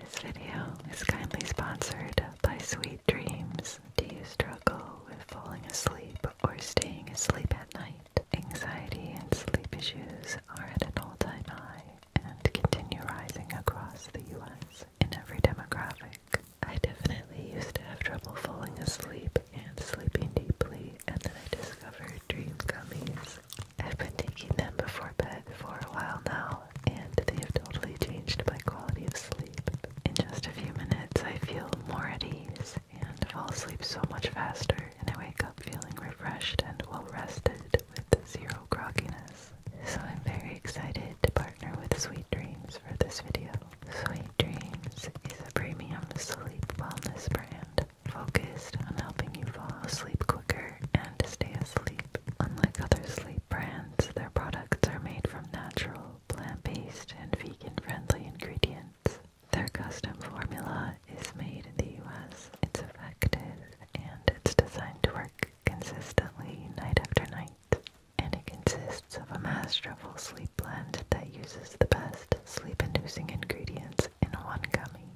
This video is kindly sponsored by Sweet Dreams. Do you struggle with falling asleep or staying asleep at night? Anxiety and sleep issues are at an all-time high and continue rising across the US in every demographic. I definitely used to have trouble falling asleep and sleeping deeply and then I discovered dream gummies I've been taking them before bed for a while now, and they have totally changed my quality of sleep. In just a few minutes, I feel more at ease and fall asleep so much faster, and I wake up feeling refreshed and well rested with zero grogginess. So I'm very excited to partner with Sweet Dreams for this video. Sweet Dreams is a premium sleep wellness brand focused on helping you fall asleep quicker and stay Sleep. Unlike other sleep brands, their products are made from natural, plant-based, and vegan-friendly ingredients. Their custom formula is made in the US. It's effective and it's designed to work consistently night after night. And it consists of a masterful sleep blend that uses the best sleep-inducing ingredients in one gummy.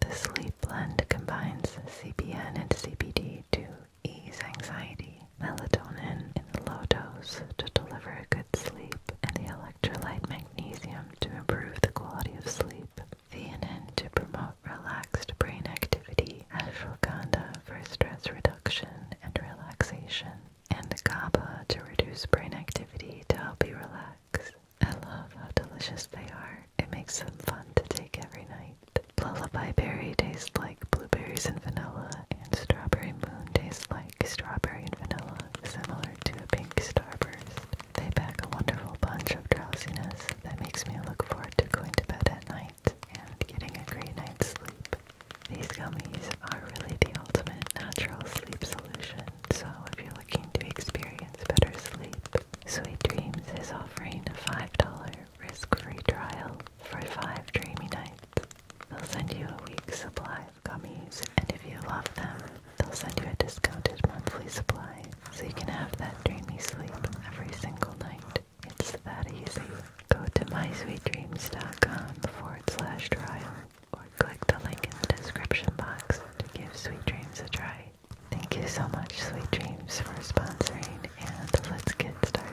The sleep blend combines CBN and CBD to ease anxiety, melatonin in a low dose to deliver a good sleep, and the electrolyte magnesium to improve the quality of sleep, Theanine to promote relaxed brain activity, ashwagandha for stress reduction and relaxation, and GABA to reduce brain activity to help you relax. I love how delicious they are. It makes them fun to take every night. Lullaby berry tastes like blueberries and vanilla, and strawberry moon tastes like strawberry and vanilla, similar to a pink starburst. They pack a wonderful bunch of drowsiness that makes me look forward to going to bed at night and getting a great night's sleep. These gummies are really the ultimate natural sleep solution, so if you're looking to experience better sleep, Sweet Dreams is offering a $5 risk-free trial for 5 dreamy nights. They'll send you a week's supply of gummies, and if you love them, they'll send you a discounted monthly supply so you can have that dreamy sleep every single night. It's that easy. Go to mysweetdreams.com forward slash trial or click the link in the description box to give Sweet Dreams a try. Thank you so much, Sweet Dreams, for sponsoring, and let's get started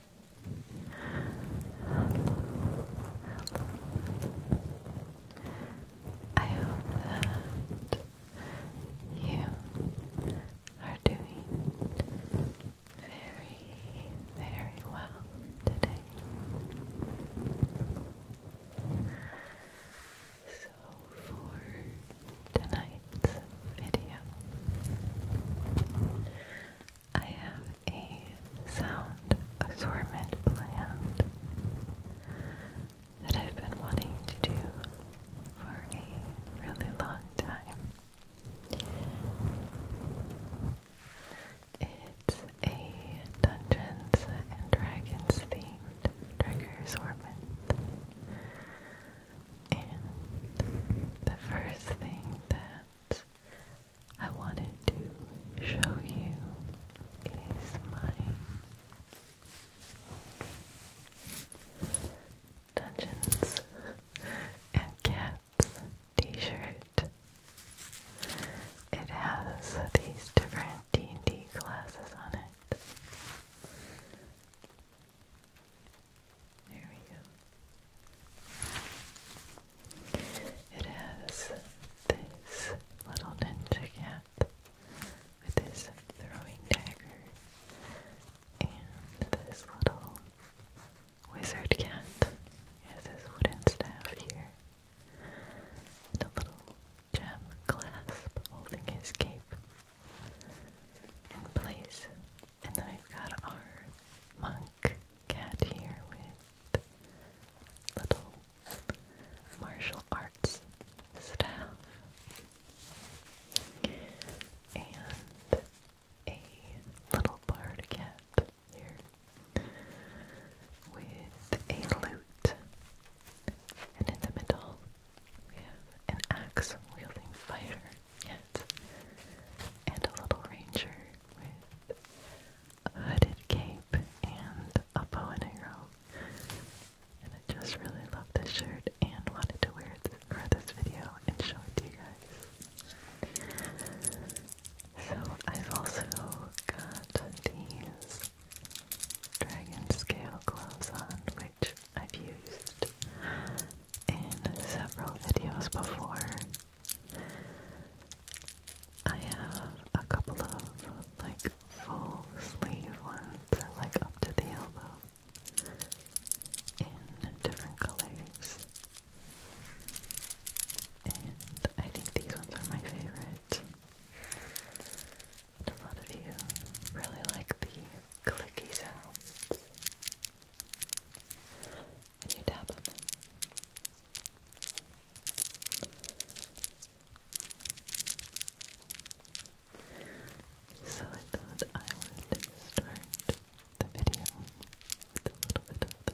hello. I hope that you are doing very, very well today. So, for tonight's video, I have a sound assortment planned that I've been wanting to do for a really long time. It's a Dungeons and Dragons themed trigger assortment. And the first thing that I wanted to show you is my Dungeons and Cats t-shirt. It has these different D&D classes on it. There we go. It has this little ninja cat with his throwing dagger and this little wizard cat has his wooden staff here and a little gem clasp holding his cape in place and then we've got our monk cat here with little martial arts staff and a little barred cat here with a lute. And in the middle we have an axe wielding fighter and a little ranger with a hooded cape and a bow and arrow. And I just really love this shirt and wanted to wear it for this video and show it to you guys. So I've also got these dragon scale gloves on, which I've used in several videos before. I have a couple of like full sleeve ones, like up to the elbow, in different colors. And I think these ones are my favorite. a lot of you really like the clicky sounds and you So I thought I would start the video with a little bit of this.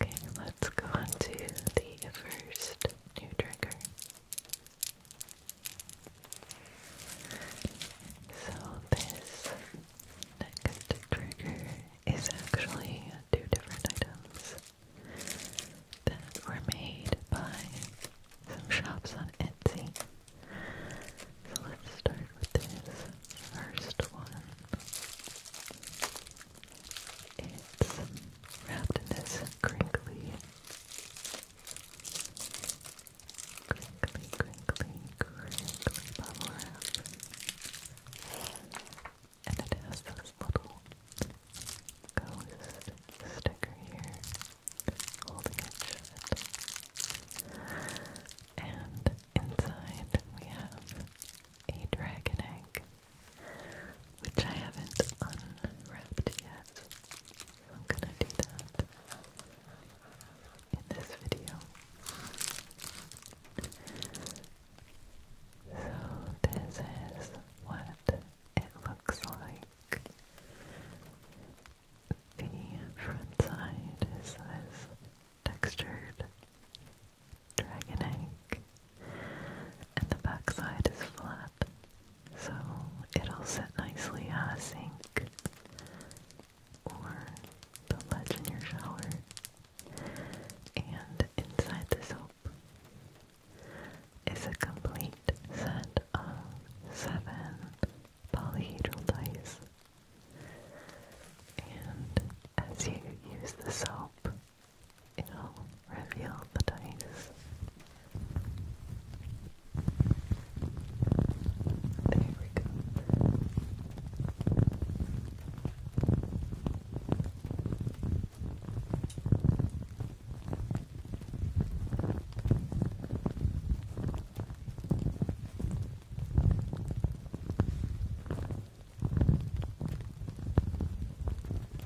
Okay, let's go on to the first new trigger. So this next trigger is actually two different items that were made by some shops on Etsy. So let's start with this first one. It's wrapped in this crinkly, crinkly, crinkly, crinkly bubble wrap. And it has this little ghost sticker here holding it shut. And inside we have a dragon egg which I haven't unwrapped yet. I'm gonna do that in this video. So this is what it looks like. The front side is this textured dragon egg and the backside is flat, so it'll sit nicely on a sink or the ledge in your shower and inside the soap is a complete set of seven polyhedral dice and as you use the soap It'll reveal the dice. There we go.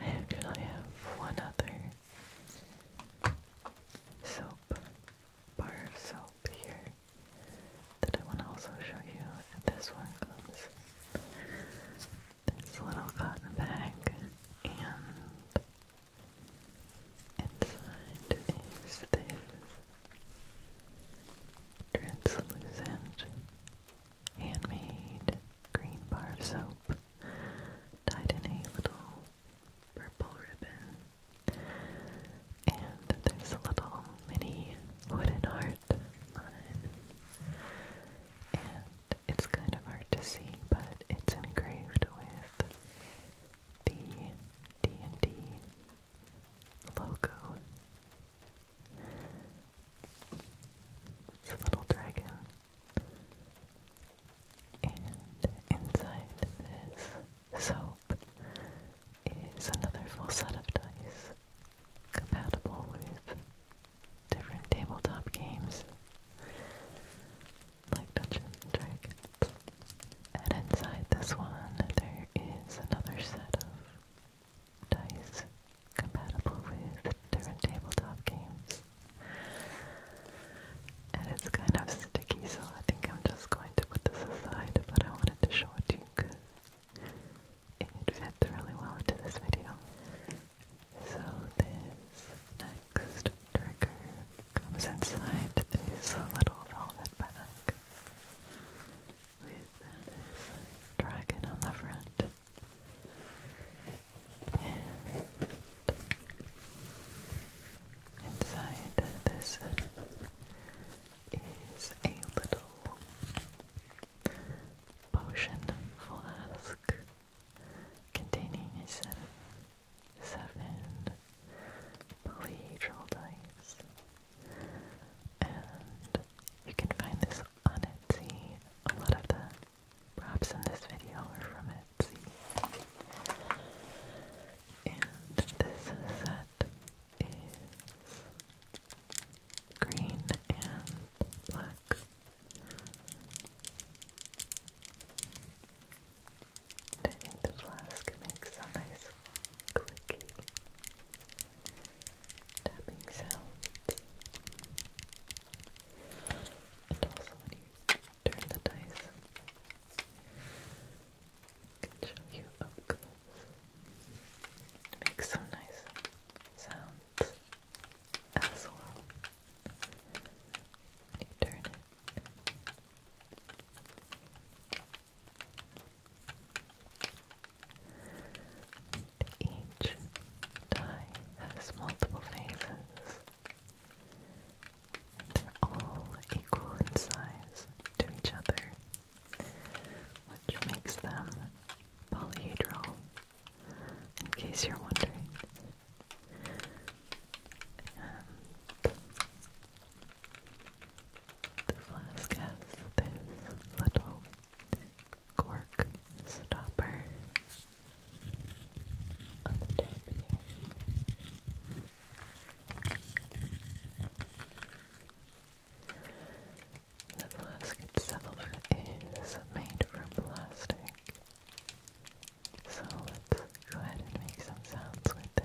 I actually have one other soap, bar of soap here that I want to also show you. This one comes a little cotton bag and inside is this translucent handmade green bar of soap tied in a little purple ribbon and there's a little mini wooden heart on it and it's kind of hard to see, but it's engraved with the D&D logo. It's a little dragon. And inside this soap is another full set of dice compatible with different tabletop games like Dungeons and Dragons. And inside this one, there is another set of dice compatible with different tabletop games. And it's kind of sticky, so I think I'm just going to put this aside, but I wanted to show it to you because it fits really well into this video. So this next trigger comes inside this little velvet bag with this dragon on the front. And inside this is a little potion flask containing a set of seven polyhedral dice. And you can find this on Etsy. A lot of the props in this video are from Etsy. And this set is green and black. Turning the flask makes a nice clicky tapping sound. And also when you turn the dice, can show you up close. makes some nice sounds as Each die has multiple phases. they're all equal in size to each other, which makes them polyhedral in case you're wondering. the flask has this little cork stopper on the top here. The flask itself is made from plastic so let's go ahead and make some sounds with this.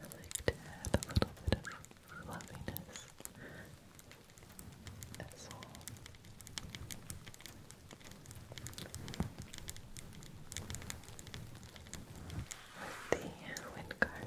I like to add a little bit of fluffiness as well. With the wind card.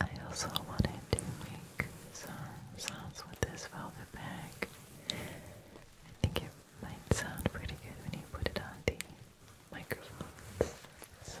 I also wanted to make some sounds with this velvet bag. I think it might sound pretty good when you put it on the microphones. So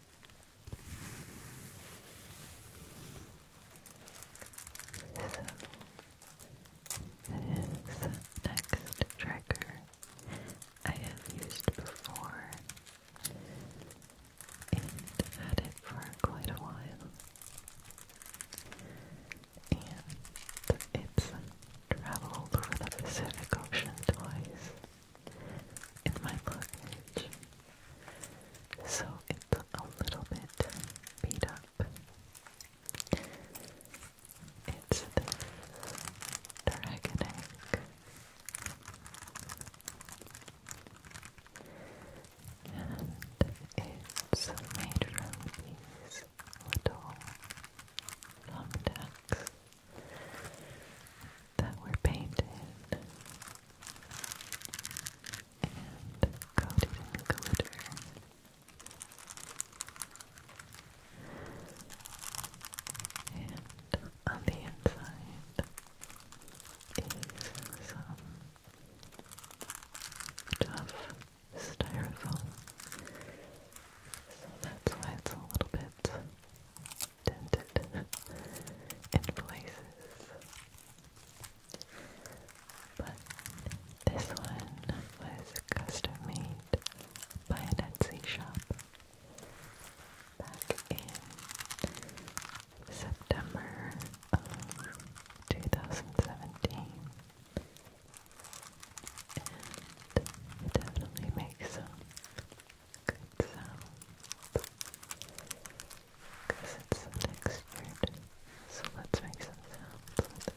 So, this next trigger I have used before and had it for quite a while. And it's traveled over the Pacific Ocean twice in my luggage. So it's a little bit beat up. It's this dragon egg. And it's made from these little thumbtacks that were painted and coated in glitter. And on the inside is some tough styrofoam. So that's why it's a little bit dented in places. But this one was custom made by an Etsy shop back in September of 2017. And it definitely makes some good sound because it's an expert so let's make some sounds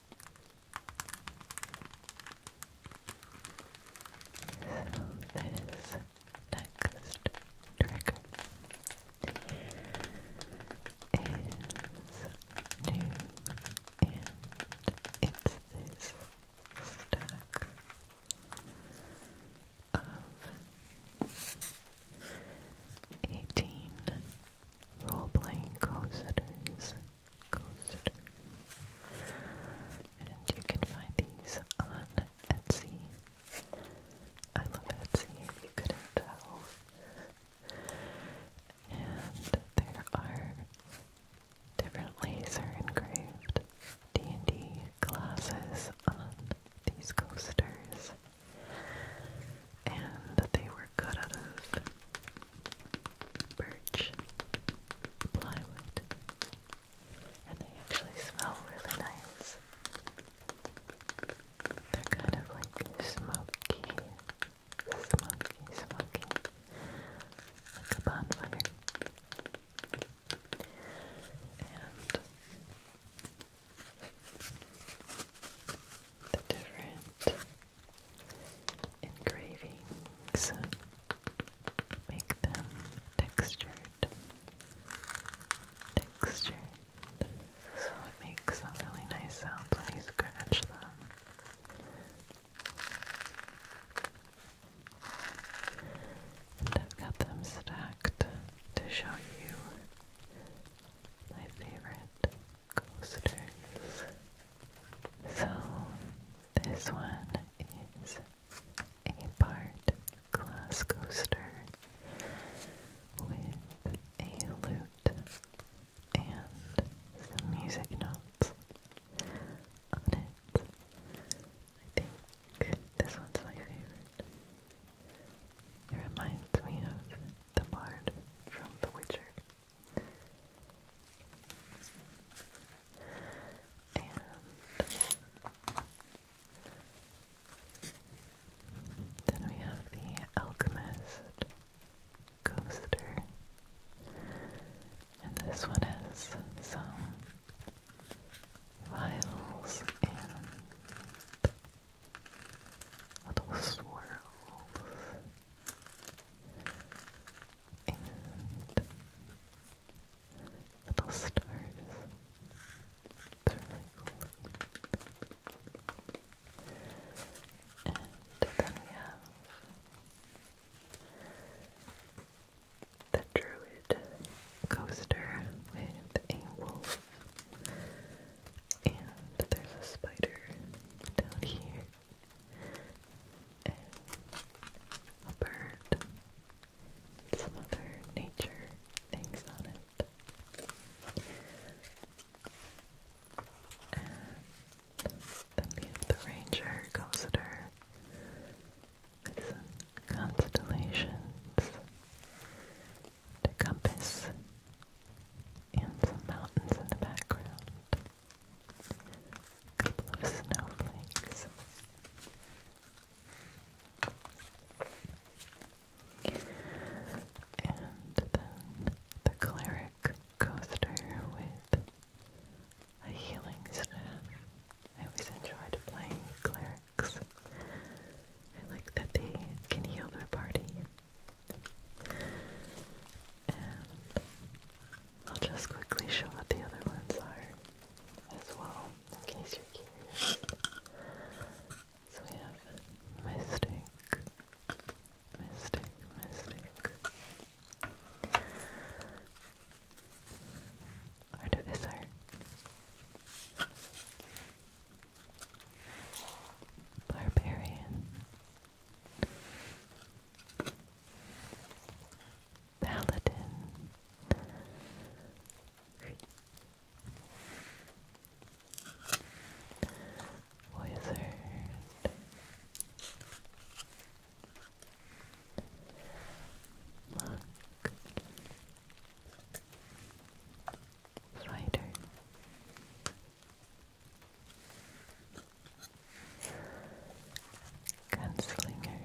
this next trigger is new and it's this stack of 18 role-playing co coaster. And you can find these on Etsy. I love Etsy, if you couldn't tell. And there are different laser engraved D&D glasses on these coasters. And they were cut out of birch plywood, and they actually smell really nice. They're kind of like smoky, smoky, smoky, the different engravings make them textured. Textured. So it makes some really nice sounds when you scratch them. And I've got them stacked to show you my favorite coasters. So this one is a part glass coaster with a lute and some music notes on it. I think this one's my favorite. It reminds me of the bard from The Witcher. And then we have the Alchemist Coaster. And this one has some vials and little swirls and little stars. They're really cool. And then we have the Druid coaster with a wolf. And there's a spider down here and a bird, some other nature things on it. And then we have the ranger constellations, the compass, and some mountains in the background. A couple of snowflakes. And then the cleric coaster with a healing staff. I always enjoyed playing clerics. I like that they can heal their party. I'll just quickly show what the other ones are as well, in case you're curious. So we have Mystic, Mystic, Mystic, Artificer. Barbarian, Paladin. Wizard. Monk. Spider. Gunslinger.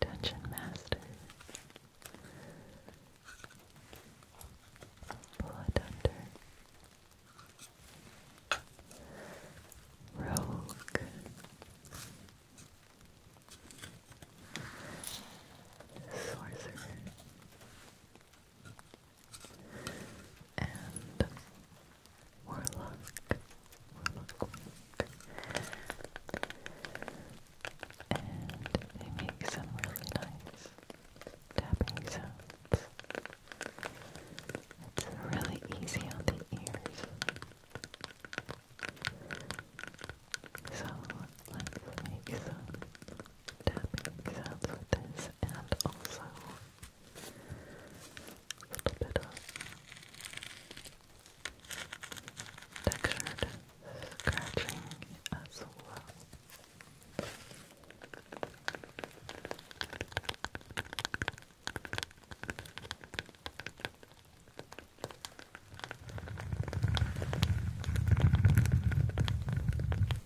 Dungeon Master. Blood Hunter. Rogue. Sorcerer and Warlock, Warlock, And they make some really nice tapping sounds. It's really easy on the ears. So let's make some tapping sounds with this and also a little bit of textured scratching as well.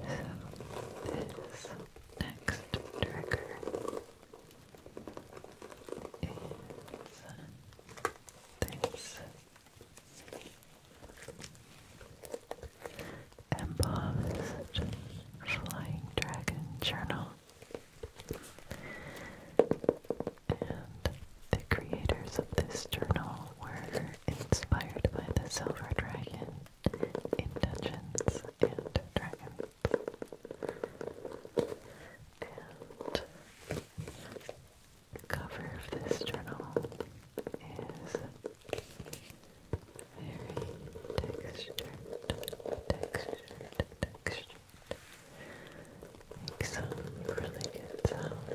this next trigger is this embossed flying dragon journal. And the creators of this journal were inspired by the Silver Dragon in and Dragons. And cover of this journal is very textured, textured, textured. some really good sounds.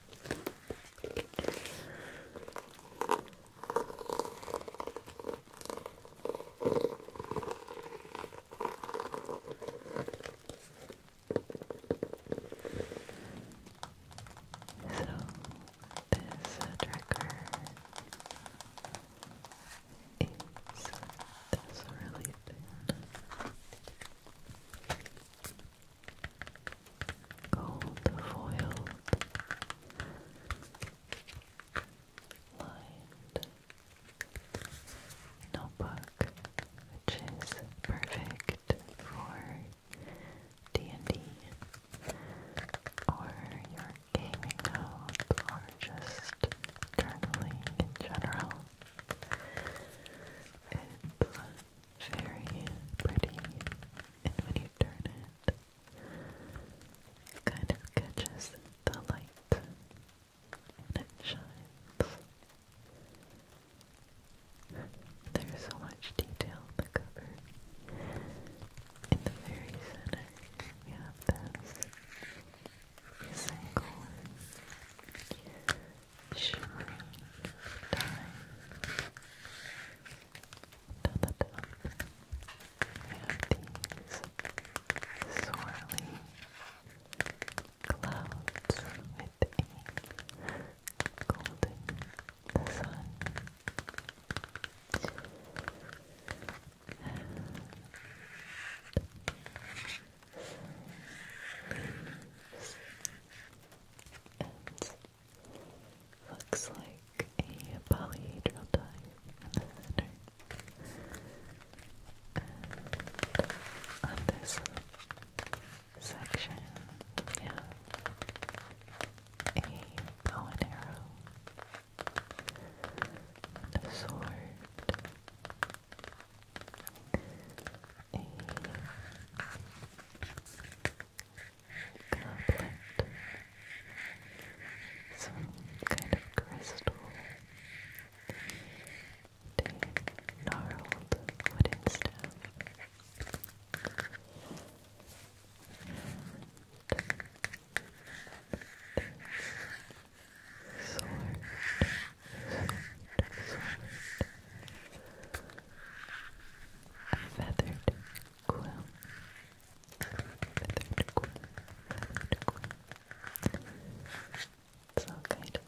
this tracker is really thin gold foiled lined notebook which is perfect for D&D or your gaming note or just journaling in general very pretty, and when you turn it, it kind of catches the light and shines. There's so much detail in the cover. In the very center, we have this single shimmering time. Down the top, we these swirly clouds with a golden sun. And Looks like a polyhedral dive on this section, we a bow and arrow, a sword, a goblet, some kind of crystal, a gnarled wooden staff, and sword feathered quill, feathered quill, feathered quill. It's all kind of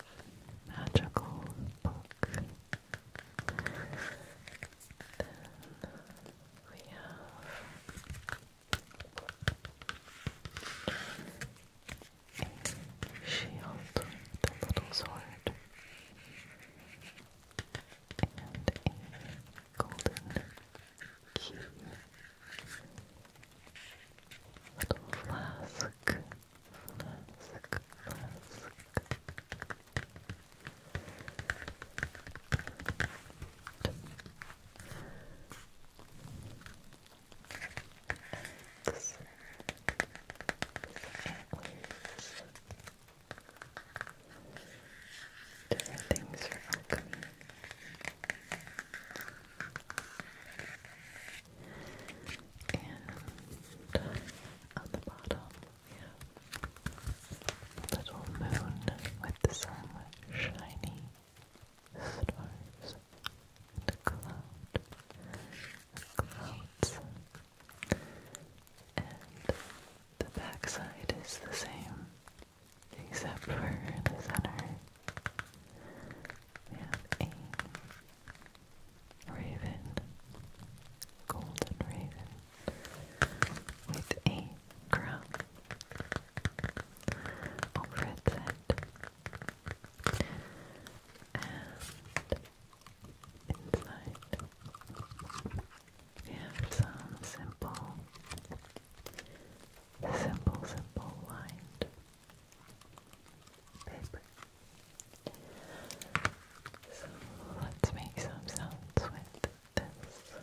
magical book. Then we have a little sword and a golden key. Little flask, flask, flask. Different things are alchemy. And on the bottom, we little moon with some shiny stars and a Clouds and the backside is the same, except for the center. We have a raven, golden raven, with a crown over its head. And inside. We have some simple, simple, simple lined paper. So let's make some sounds with this.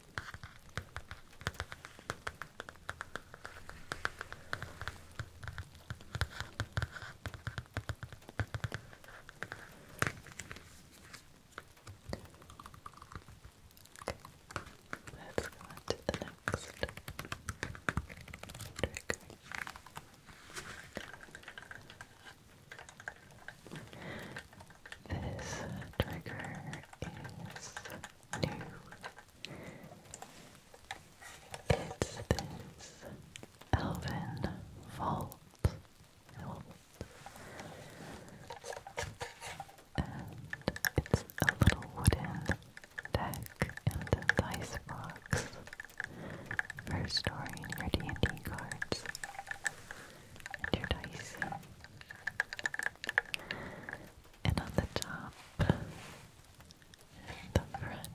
Let's go on to the next trigger. This trigger is new. It's this Elven Vault. And it's a little wooden deck and a dice box for storing your D&D cards too dicey. And on the top, the front,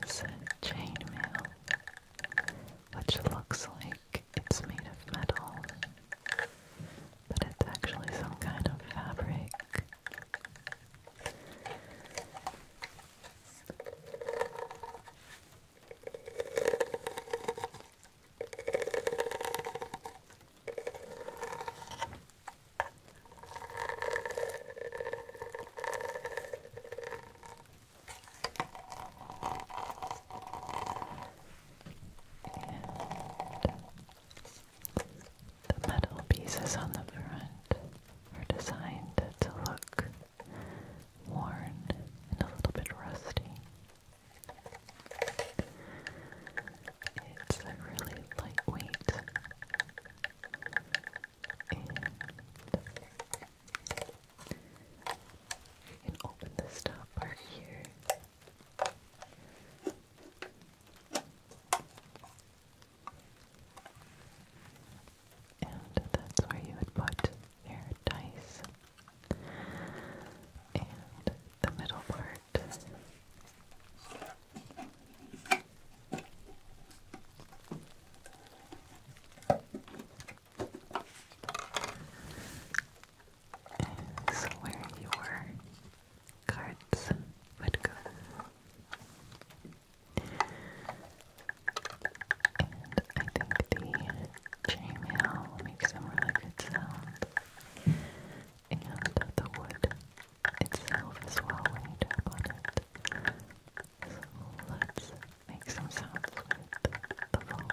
is chainmail, which looks like it's made of metal, but it's actually some kind of fabric. The metal pieces on the front are designed to look worn and a little bit rusty. It's a really lightweight and you can open this top part here. And that's where you would put your dice. And the middle part. Is where your cards would go. And I think the chainmail makes some really good And the wood itself is well when you tap on it. let's make some sounds with the vault.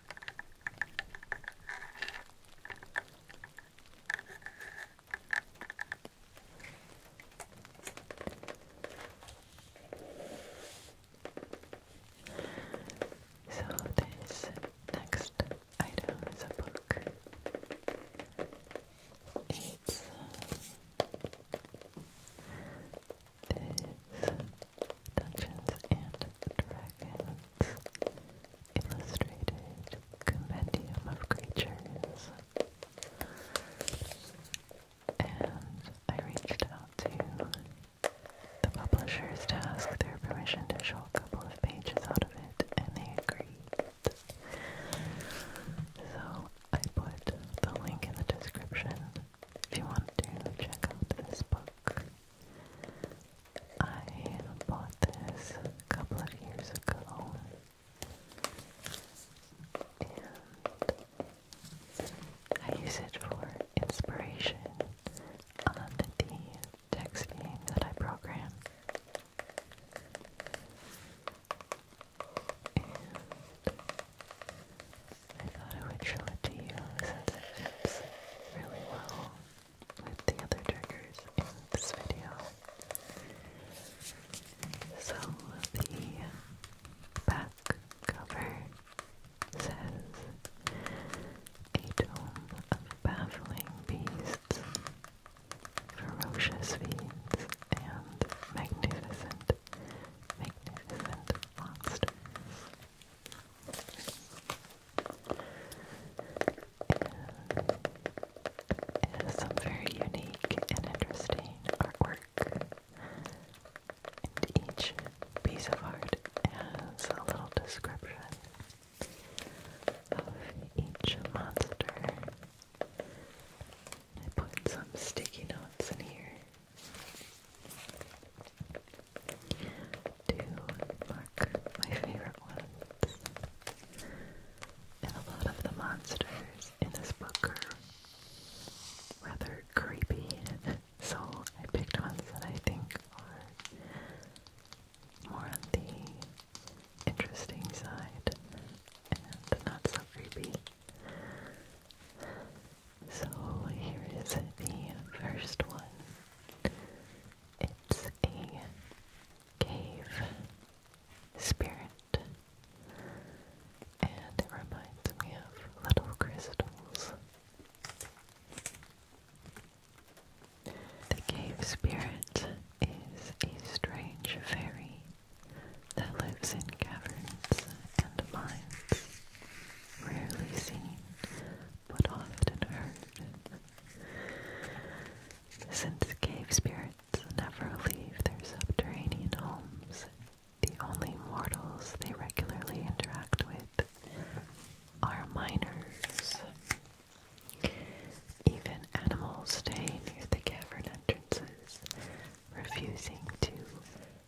So this next item is a book. It's uh, Dungeons and Dragons Illustrated Compendium of Creatures. And I reached out to the publishers to ask their permission to show a couple of pages out of it, and they agreed. So I put the link in the description if you want to check out this book. I bought this a couple of years ago and I use it for inspiration on the texting that I program. And I thought I would show it to you since it fits really well with the other triggers in this video. So the back cover says a dome of baffling beasts, ferocious fiends, and magnificent, magnificent monsters is some very unique and interesting artwork. And each piece of art has a little description of each monster. I put some sticky notes in here to mark my favorite ones. And a lot of the monsters in this book are rather creepy, so I picked ones that I think are more on the interesting side and not so creepy. So here is the first one. It's a cave spirit, and it reminds me of little crystals. The cave spirit is a strange fairy that lives in caverns and mines, rarely seen but often heard. Since cave spirits never leave their subterranean homes, the only mortals they regularly interact with are miners. Even animals stay near the cavern entrances, refusing to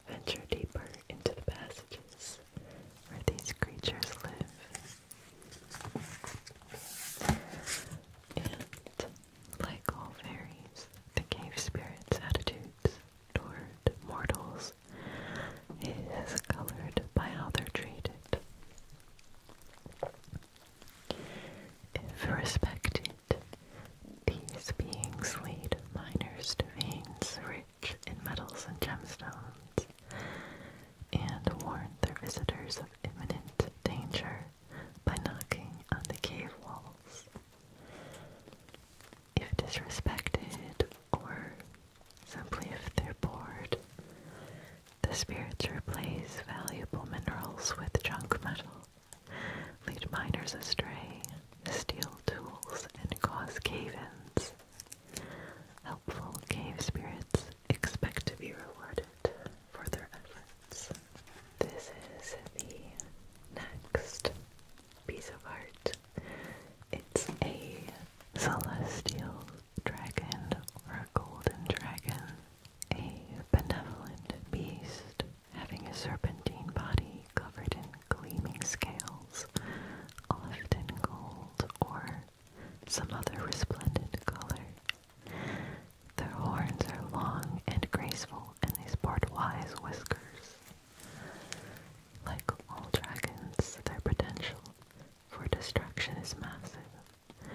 venture deeper into the passages where these creatures live. And, like all fairies, the cave spirit's attitudes toward mortals is colored by how they're treated. If respected, these beings lead miners to veins rich in metals and gemstones, and warn their visitors of imminent danger by knocking on the cave walls. If disrespected, or simply if they're bored, the spirits replace valuable minerals with junk metal, lead miners astray, steal tools, and cause cave-ins. Helpful cave spirits expect to be rewarded for their efforts. This is the next piece of art. It's a celestial dragon or a golden dragon, a benevolent beast having a serpentine body covered in gleaming scales, often gold or some other resplendent color. Their horns are long and graceful, and they sport wise whiskers. Like all dragons, their potential for destruction is massive.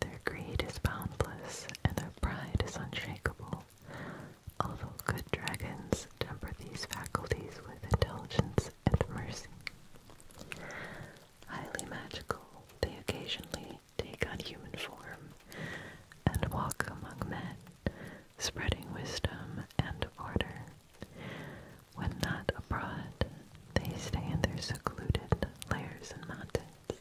Their greed is boundless, and their pride is unshakable. Although good dragons temper these faculties with intelligence and mercy. Highly magical, they occasionally take on human form and walk among men, spreading wisdom and order. When not abroad, they stay in their secluded lairs and mountains,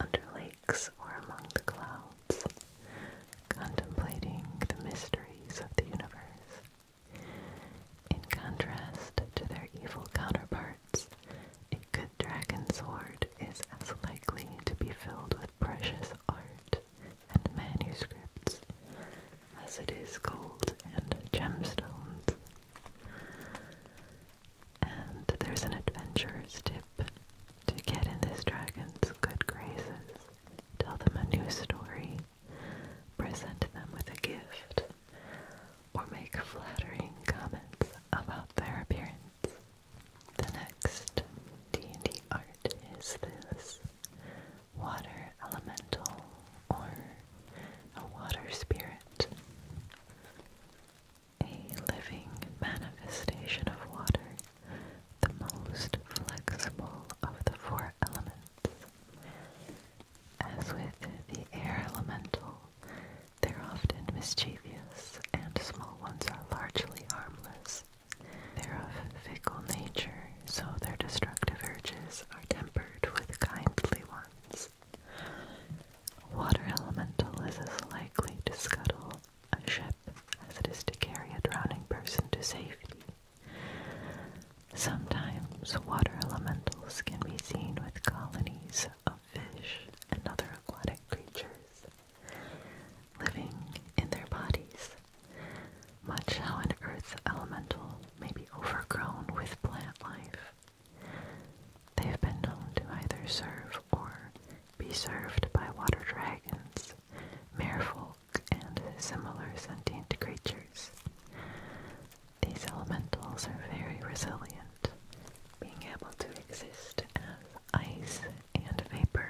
under lakes or among the clouds, contemplating the mysteries of the universe. In contrast to their evil counterparts, a good dragon sword is as likely to be filled with precious art and manuscripts as it is gold and gemstones. And there's an adventurer's tip to get in this dragon's good graces. Tell them a new story present them with a gift, or make flattering comments about their appearance. The next D&D art is this water elemental or a water spirit. A living manifestation of water, the most flexible of the four elements. As with the air elemental, they're often mischievous, and small ones are largely harmless. They're of fickle nature, so their destructive urges are tempered with kindly ones. Water elemental is as likely to scuttle a ship as it is to carry a drowning person to safety. Sometimes water elementals can be seen with colonies of fish and other aquatic creatures living in their bodies, much how an earth elemental may be overgrown with plant life. They've been known to either serve or be served by water dragons, merfolk, and similar sentient creatures. These elementals are very resilient, being able to exist as ice and vapor.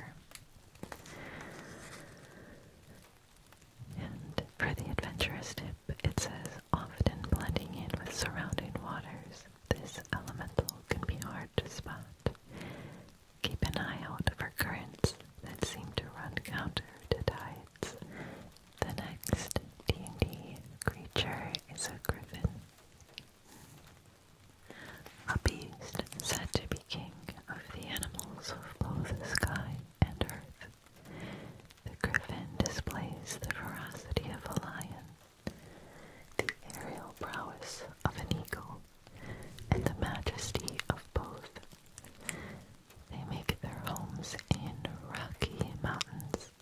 And for the adventurous tip, it says often blending in with surrounding waters, this elemental can be hard to spot. Keep an eye out for currents that seem to run counter to tides the next D&D creature is a griffin. A beast said to be king of the animals of both sky and earth. The griffin displays the ferocity of a lion, the aerial prowess of an eagle, and the majesty of both they make their homes in rocky mountains,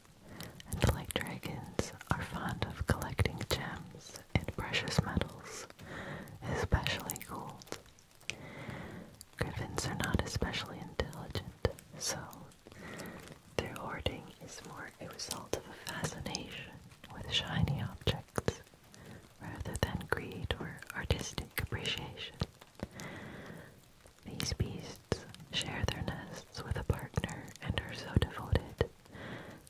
and like dragons, are fond of collecting gems and precious metals, especially gold. Griffins are not especially intelligent, so their hoarding is more a result of a fascination with shiny objects rather than greed or artistic appreciation. These beasts share their nests with a partner and are so devoted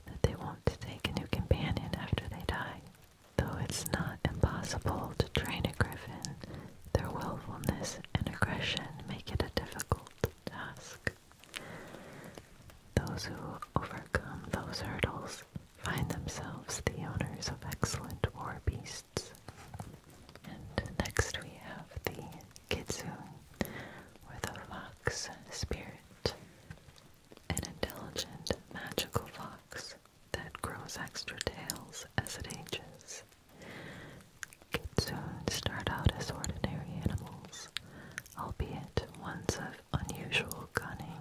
that they won't take a new companion after they die. Though it's not impossible to train a griffin, their willfulness and aggression make it a difficult task. Those who overcome those hurdles find themselves the owners of excellent war beasts. And next we have the Kitsu with a fox spirit. An intelligent, magical fox that grows extra tails as it ages. Kitsu start out as ordinary animals, albeit ones of unusual cunning.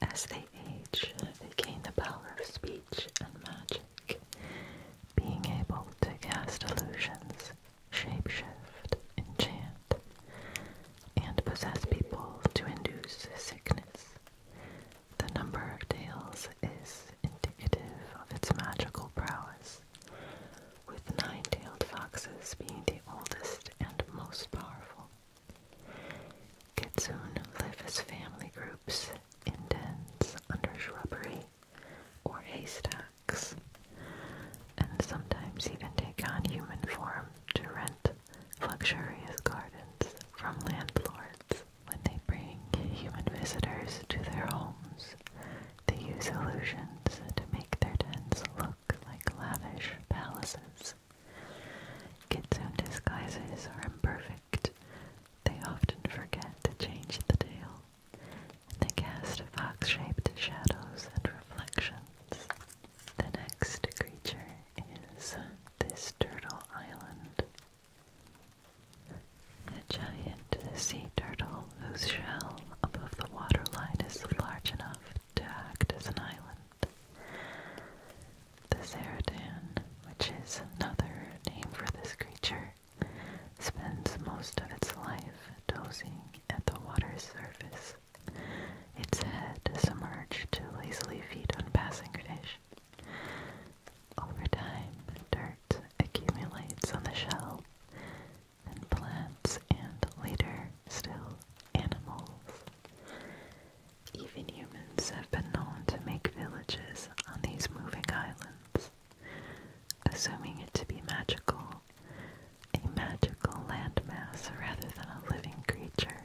As they age, they gain the power of speech and magic, being able to cast illusions, shapeshift, enchant, and possess people to induce sickness. The number of tails is indicative of its magical prowess, with nine-tailed foxes being the oldest and most powerful. Kitsune live as family groups in dens under shrubbery or haystacks, and sometimes even take on human form to rent luxurious gardens from landlords. When they bring human visitors to their homes, they use illusions to make their dens look like lavish palaces. Kitsune disguises are imperfect they often forget to change the tale, and they cast a fox-shaped shadows and reflections. The next creature is this turtle island. A giant sea turtle whose shell above the waterline is large enough to act as an island. The Ceradan, which is another name for this creature, spends most of its life dozing at the water's surface, its head submerged to lazily feed on passing fish. Over time, dirt accumulates on the shell, and plants and later still animals even humans have been known to make villages on these moving islands, assuming it to be magical, a magical landmass rather than a living creature.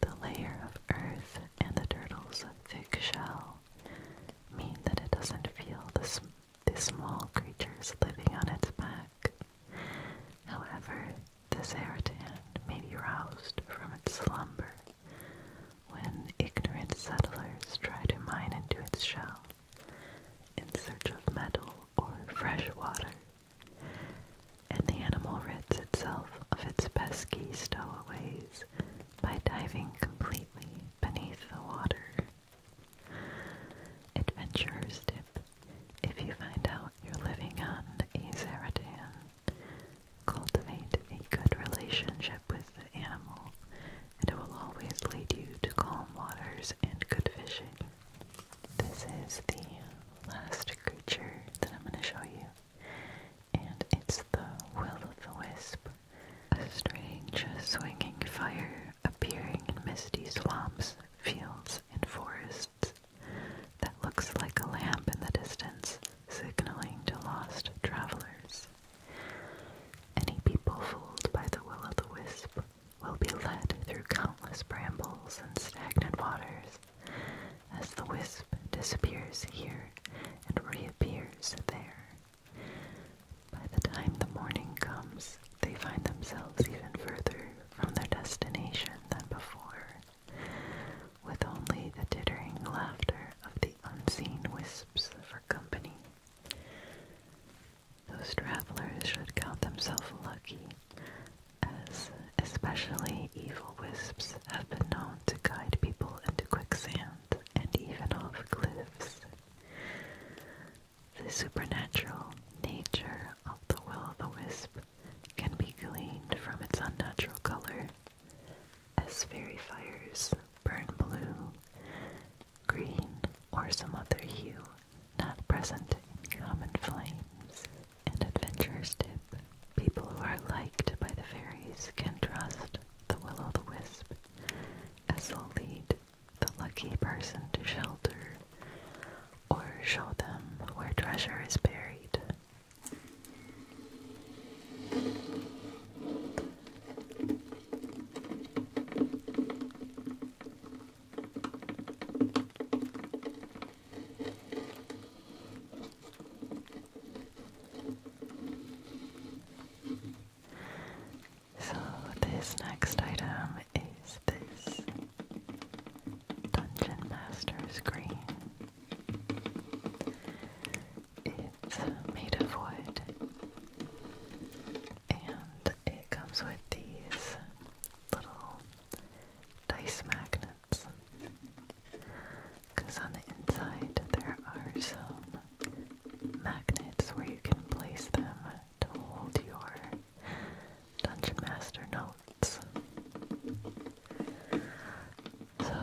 The layer of earth and the turtle's thick shell mean that it doesn't feel the, small creatures living on its back. However, this Eratan may be roused from its slumber when ignorant settlers try to mine into its shell in search of metal or fresh water, and the animal rids itself of its pesky stowaways by diving completely beneath the water. Adventures tip. If you find out you're living on a Zaratan, Cultivate a good relationship with the animal, and it will always lead you to calm waters and good fishing. This is the last creature that I'm going to show you, and it's the Will-o'-the-Wisp, a strange swinging fire appearing in misty swamps, fields, and forests that looks like a lamp in the distance, signaling to lost travelers. Any people fooled by the will o' the wisp will be led through countless brambles and stagnant waters as the wisp disappears here and reappears there. By the time the morning comes, they find themselves even further from their destination than before with only the tittering laughter of the unseen wisps for company. Those travelers should count themselves lucky, as especially evil wisps have been known to guide people into quicksand and even off cliffs. The supernatural nature of the will of the wisp can be gleaned from its unnatural color as fairy fires burn blue, green, or some other hue not present in common flames. An adventurer's tip. People who are liked by the fairies can trust the will-o'-the-wisp, as they'll lead the lucky person to shelter or show them where treasure is buried. So, this next item is this Dungeon Master's Green. It's made of wood and it comes with these little dice magnets because on the inside there are some magnets where you can place them to hold your Dungeon Master notes. So,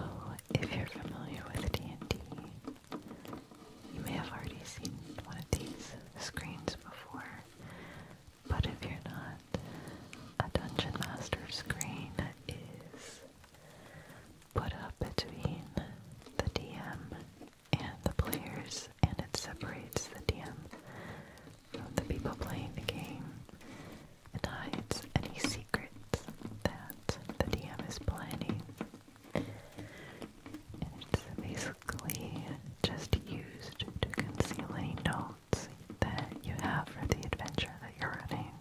if you're familiar with D&D, you may have already seen one of these screens before, but if you're not, a Dungeon Master screen is put up between the DM and the players, and it separates the DM from the people playing the game and hides any secrets that the DM is planning. And it's basically just used to conceal any notes that you have for the adventure that you're running.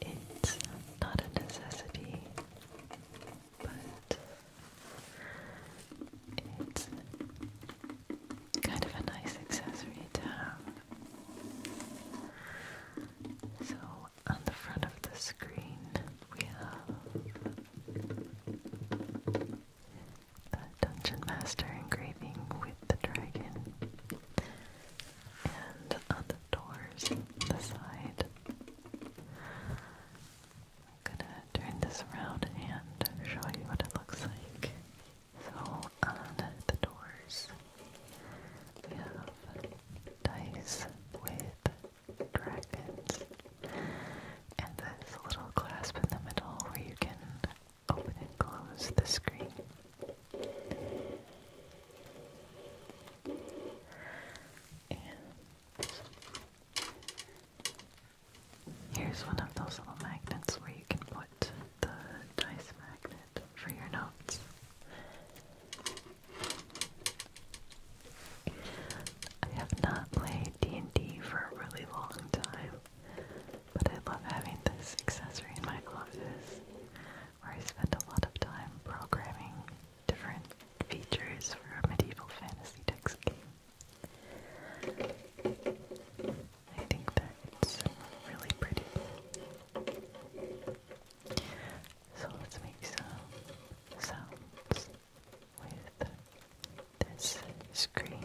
it's not a necessity but it's kind of a nice accessory to So on the front of the screen we have the Dungeon Master engraving with the dragon. And on the doors, the side, I'm gonna turn this around and show you what it looks like. So on the doors we have dice with dragons and this little clasp in the middle where you can open and close the screen. And Here's one of those little magnets where you can put the dice magnet for your notes. I have not played D&D for a really long time, but I love having this accessory in my office where I spend a lot of time programming different features for a medieval fantasy text game. I think that it's really pretty. So let's make some sounds with this screen.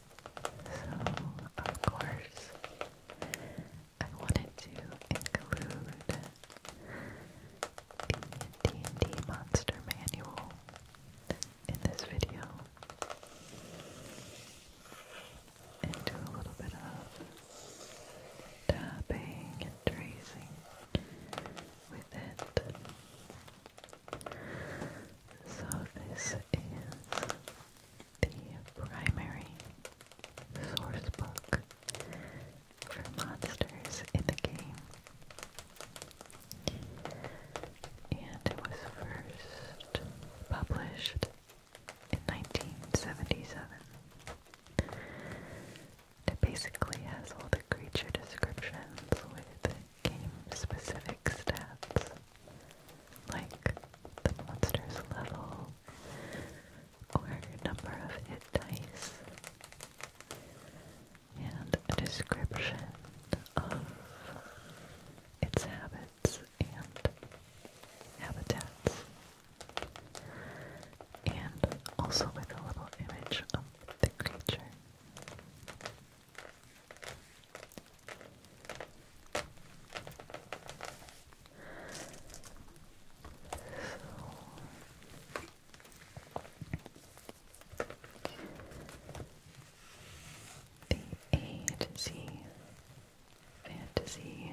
So, of course, I wanted to include the D&D Monster Manual in this video and do a little bit of tapping and tracing with it. So this is the primary source book for monsters in the game. And it was first published in 1977. It basically has all the creature descriptions with game specific stats like the monster's level or number of hit dice and a description of its habits and habitats and also with a little image of the creature. The agency fantasy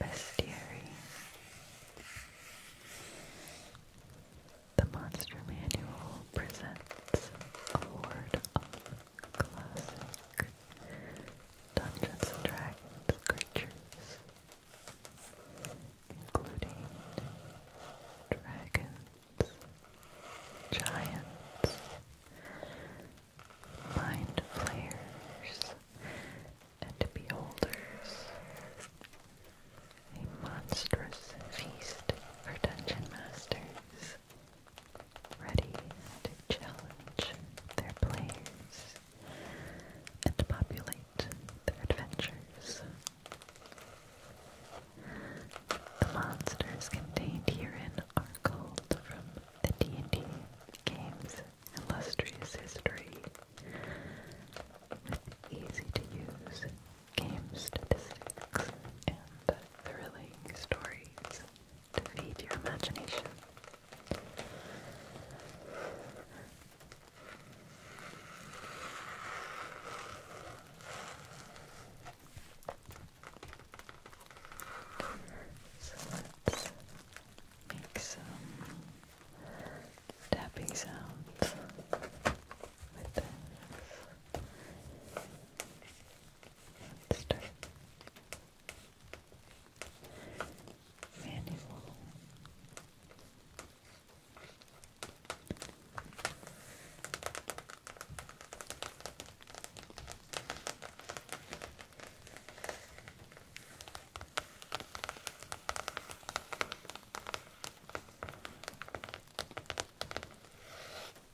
bestiary. The Monster Manual presents Award of classic Dungeons and creatures, including dragons, giants, mind flayers, and beholders. A monstrous feast for dungeon masters ready to challenge their players and populate their adventures. The monsters contained herein are called from the D&D game's illustrious history with easy-to-use game statistics and thrilling stories feed your imagination. So let's make some tapping sounds Let's Manual.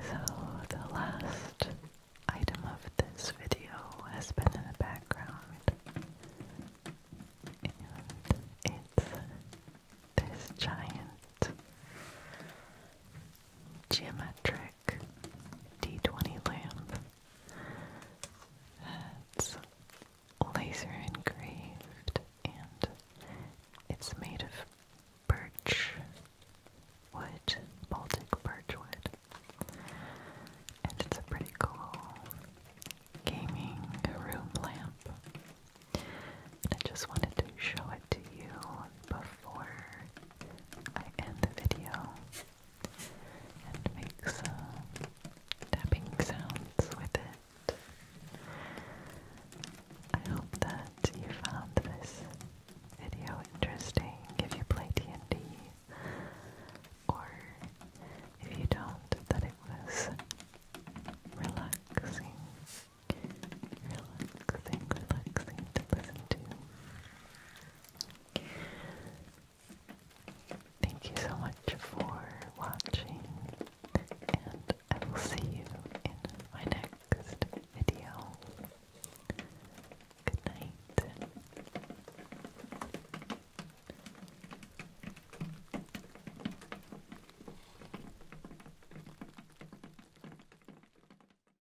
So, the last item of this video has been in the background, and it's this giant geometric D20 lamp that's laser engraved and it's made of birch wood, Baltic birch wood. And it's a pretty cool gaming room lamp. I just wanted to show it to you before I end the video and make some tapping sounds with it. I hope that you found this video interesting if you play D&D or if you don't, that it was relaxing. Relaxing, relaxing to listen to. Thank you so much for watching, and I will see you in my next video. Good night.